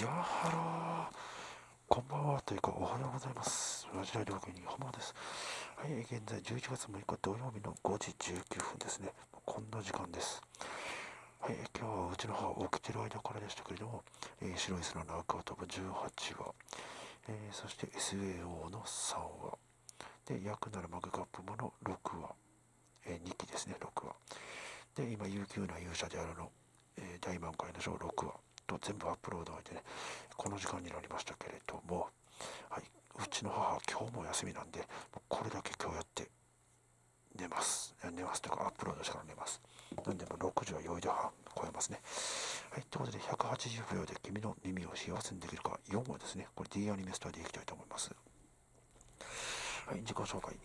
やはろこんばんはというかおはようございます。ラジオ料金にほです。はい、現在11月6日土曜日の5時19分ですね。こんな時間です。はい、今日はうちの母起きてる間からでしたけれども、え白い砂の赤を飛ぶ18話、えそして SAO の3話、で、約7マグカップもの6話、え2期ですね、6話。で、今、悠久な勇者であるの、え大満開の章6話と全部アップロードをいてね、この時間になりましたけれども、はい、うちの母、今日も休みなんで、これだけ今日やって寝ます。寝ますとか、アップロードしてから寝ます。なんで、も6時は4時半超えますね。はい、ということで、180秒で君の耳を幸せにできるか4話ですね、これ D アニメストアでいきたいと思います。はい、自己紹介。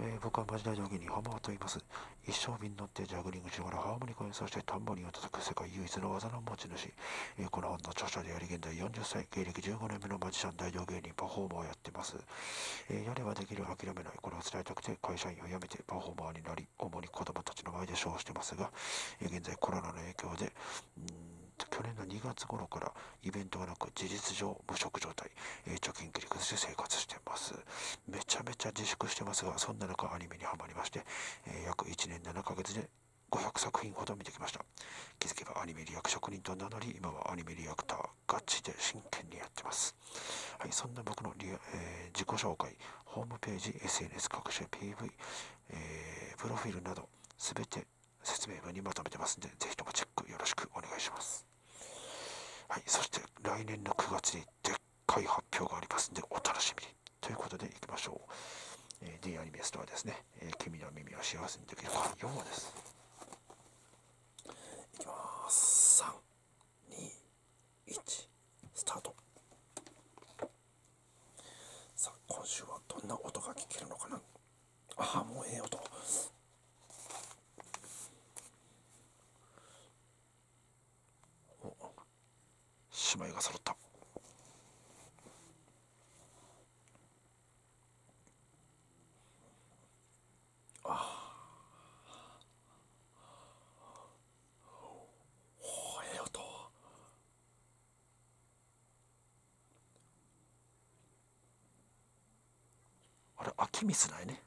え僕はマジ大道芸人ハマーと言います。一生身に乗ってジャグリングしながらハーモニカにそしてタンバリンを叩く世界唯一の技の持ち主。えこの本の著者であり現在40歳、芸歴15年目のマジシャン大道芸人パフォーマーをやってます。えやればできる諦めない。これを伝えたくて会社員を辞めてパフォーマーになり、主に子供たちの前でショーをしてますが、現在コロナの影響で、去年の2月頃からイベントがなく事実上無職状態、え貯金切り崩して生活してますめちゃめちゃ自粛してますがそんな中アニメにはまりまして、え約1年7ヶ月で500作品ほど見てきました気づけばアニメリアク職人と名乗り今はアニメリアクターガチで真剣にやってますはいそんな僕のリア、え自己紹介ホームページ SNS 各種 PV、えプロフィールなど全て説明文にまとめてますんで、ぜひともチェックよろしくお願いします。はい、そして来年の9月にでっかい発表がありますんで、お楽しみに。ということで、いきましょう。え D アニメストアですね、え君の耳は幸せにできる4話です。いきます。3、2、1、スタート。さあ今週はどんな音が聞けるのかなああもうええ音お姉妹が揃ったああ。おええ音あれ秋見すないね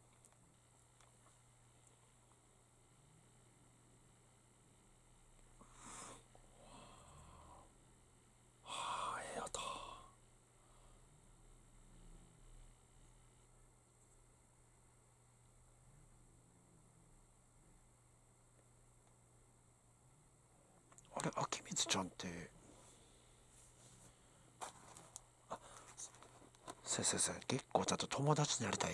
あれ秋光ちゃんってあ先生先生結構ちゃんと友達になりたい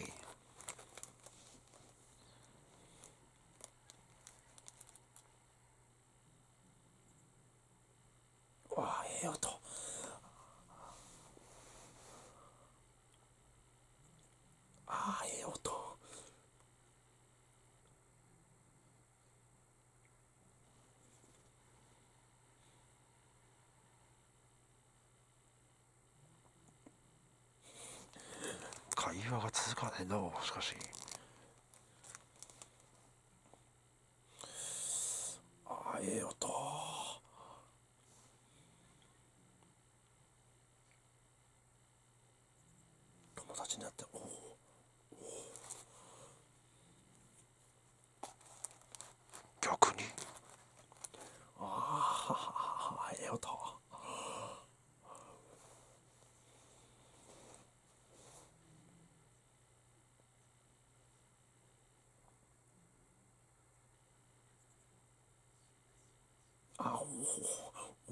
わあええ音ああええ音会話が続かねえなしかしああええ音友達になっておお逆にああ入れようえああ。あおお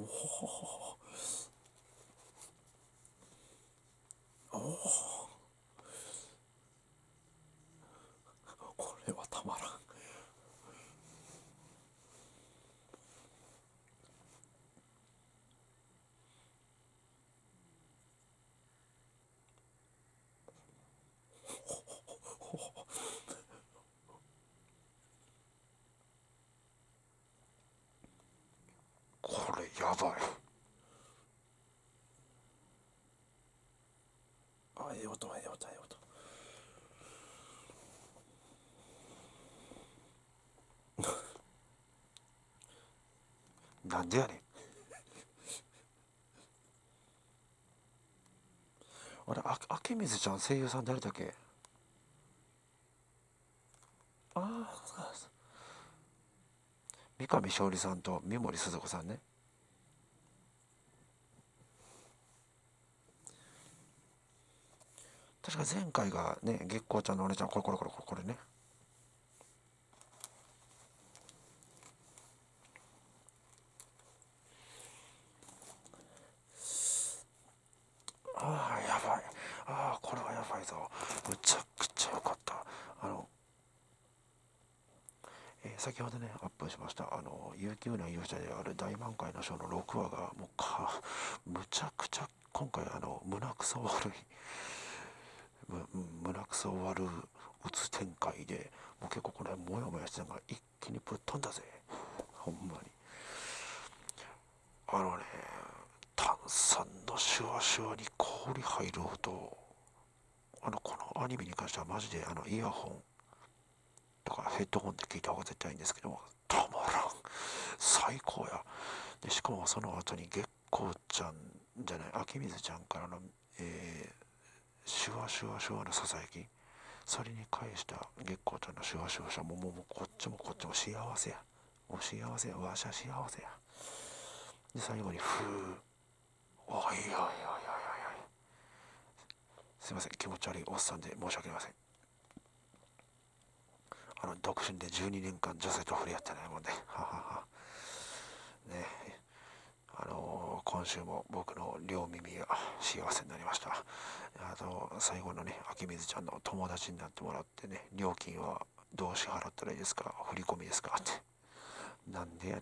おおこれはたまらんこれやばいあええ音ええ音ええ音 なんでやねんあれあ明水ちゃん声優さん誰だっけああ三上勝利さんと三森鈴子さんね確か前回がね月光ちゃんのお姉ちゃんこれこれこれこれこれねああやばいああこれはやばいぞむちゃくちゃ良かったあの、え先ほどねアップしましたあの y o u の勇者である大満開の章の6話がもうかむちゃくちゃ今回あの胸くそ悪い胸くそ悪つ展開でもう結構これモヤモヤしたのが一気にぶっ飛んだぜほんまにあのね炭酸のシュワシュワに氷入る音。あのこのアニメに関してはマジであのイヤホンとかヘッドホンで聞いた方が絶対いいんですけどもたまらん最高やでしかもその後に月光ちゃんじゃない秋水ちゃんからのえシュワシュワシュワのささやきそれに返した月光ちゃんのシュワシュワシュワももうこっちもこっちも幸せやお幸せやわしゃ幸せやで最後にふうおいおいおいおいおいすいません気持ち悪いおっさんで申し訳ありませんあの独身で12年間女性と触れ合ってないもんではははねあの今週も僕の両耳が幸せになりました。あと、最後のね、秋水ちゃんの友達になってもらってね、料金はどう支払ったらいいですか振り込みですかって。なんでやね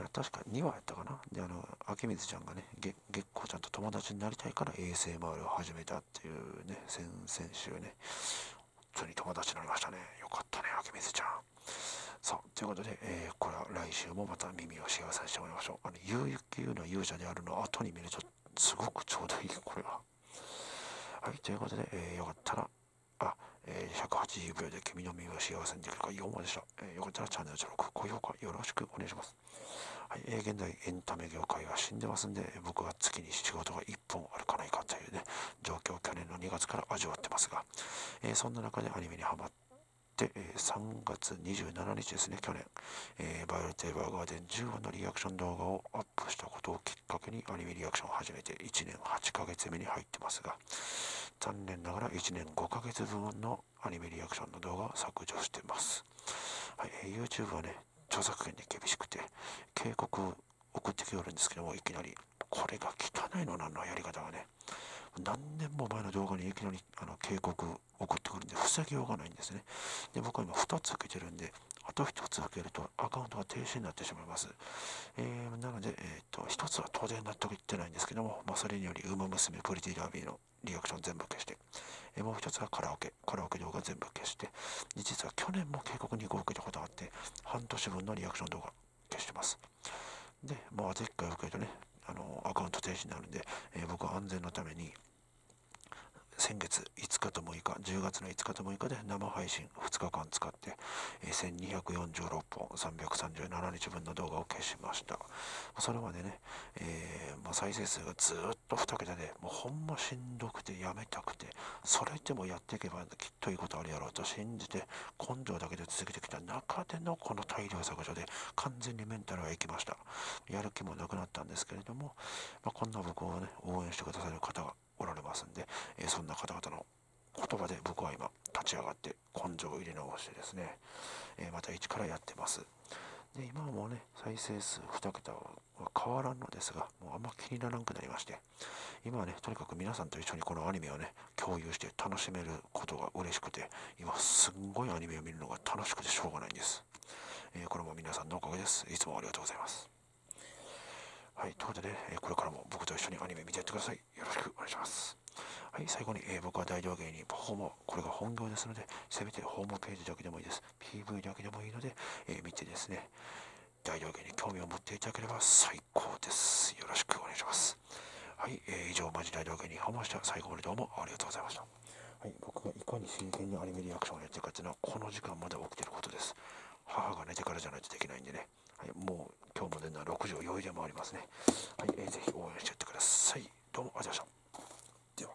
ん。確か2話やったかな。で、あの、秋水ちゃんがね、月光ちゃんと友達になりたいから ASMR を始めたっていうね、先々週ね、当に友達になりましたね。よかったね、明美みちゃん。さあ、ということで、えー、これは来週もまた耳を幸せにしてもらいましょう。あの、ゆうゆうの勇者であるの後に見ると、すごくちょうどいい、これは。はい、ということで、えー、よかったら、あ、えー、180秒で君の耳を幸せにできるか4話でした。えー、よかったらチャンネル登録、高評価よろしくお願いします。はい、えー、現在エンタメ業界が死んでますんで、僕は月に仕事が1本あるかないかというね、状況去年の2月から味わってますが、えそんな中でアニメにはまって、え3月27日ですね、去年、えバイオレット・エヴァーガーデン10話のリアクション動画をアップしたことをきっかけにアニメリアクションを始めて1年8ヶ月目に入ってますが、残念ながら1年5ヶ月分のアニメリアクションの動画を削除してます。はい、YouTube はね、著作権に厳しくて、警告送ってきよるんですけども、いきなり。これが汚いのなんのやり方がね。何年も前の動画にいきなりあの警告送ってくるんで、防ぎようがないんですね。で、僕は今2つ受けてるんで、あと1つ受けるとアカウントが停止になってしまいます。えー、なので、えっと、1つは当然納得いってないんですけども、まあ、それにより、ウマ娘プリティラビーのリアクション全部消して、えもう1つはカラオケ、カラオケ動画全部消して、、実は去年も警告2個受けたことがあって、半年分のリアクション動画消してます。で、まあ、前回受けるとね、あのアカウント停止になるんで、え僕は安全のために、先月5日と6日、10月の5日と6日で生配信2日間使って、え1246本337日分の動画を消しました。それまでね、えま再生数がずっと2桁で、もうほんましんどくてやめたくて、それでもやっていけばきっといいことあるやろうと信じて根性だけで続けてきた中でのこの大量削除で完全にメンタルは生きましたやる気もなくなったんですけれども、まこんな僕をね応援してくださる方がおられますんで、えそんな方々の言葉で僕は今立ち上がって根性を入れ直してですね、えまた一からやってますで今もね再生数2桁は変わらんのですが、もうあんま気にならなくなりまして、今はね、とにかく皆さんと一緒にこのアニメをね、共有して楽しめることが嬉しくて、今すんごいアニメを見るのが楽しくてしょうがないんです。えこれも皆さんのおかげです。いつもありがとうございます。はい、ということでえこれからも僕と一緒にアニメ見てやってください。よろしくお願いします。はい、最後に、えー、僕は大道芸人パフォーマー、これが本業ですので、せめてホームページだけでもいいです。PV だけでもいいので、え見てですね、大道芸に興味を持っていただければ最高です。よろしくお願いします。はい、えー、以上、マジ大道芸に訪問した。最後までどうもありがとうございました。はい、僕がいかに真剣にアニメリアクションをやってるかっていうのは、この時間まで起きてることです。母が寝てからじゃないとできないんでね。はい、もう今日も寝るのは6時を余裕でもありますね。はい、え是非応援してやってください。どうもありがとうございました。では。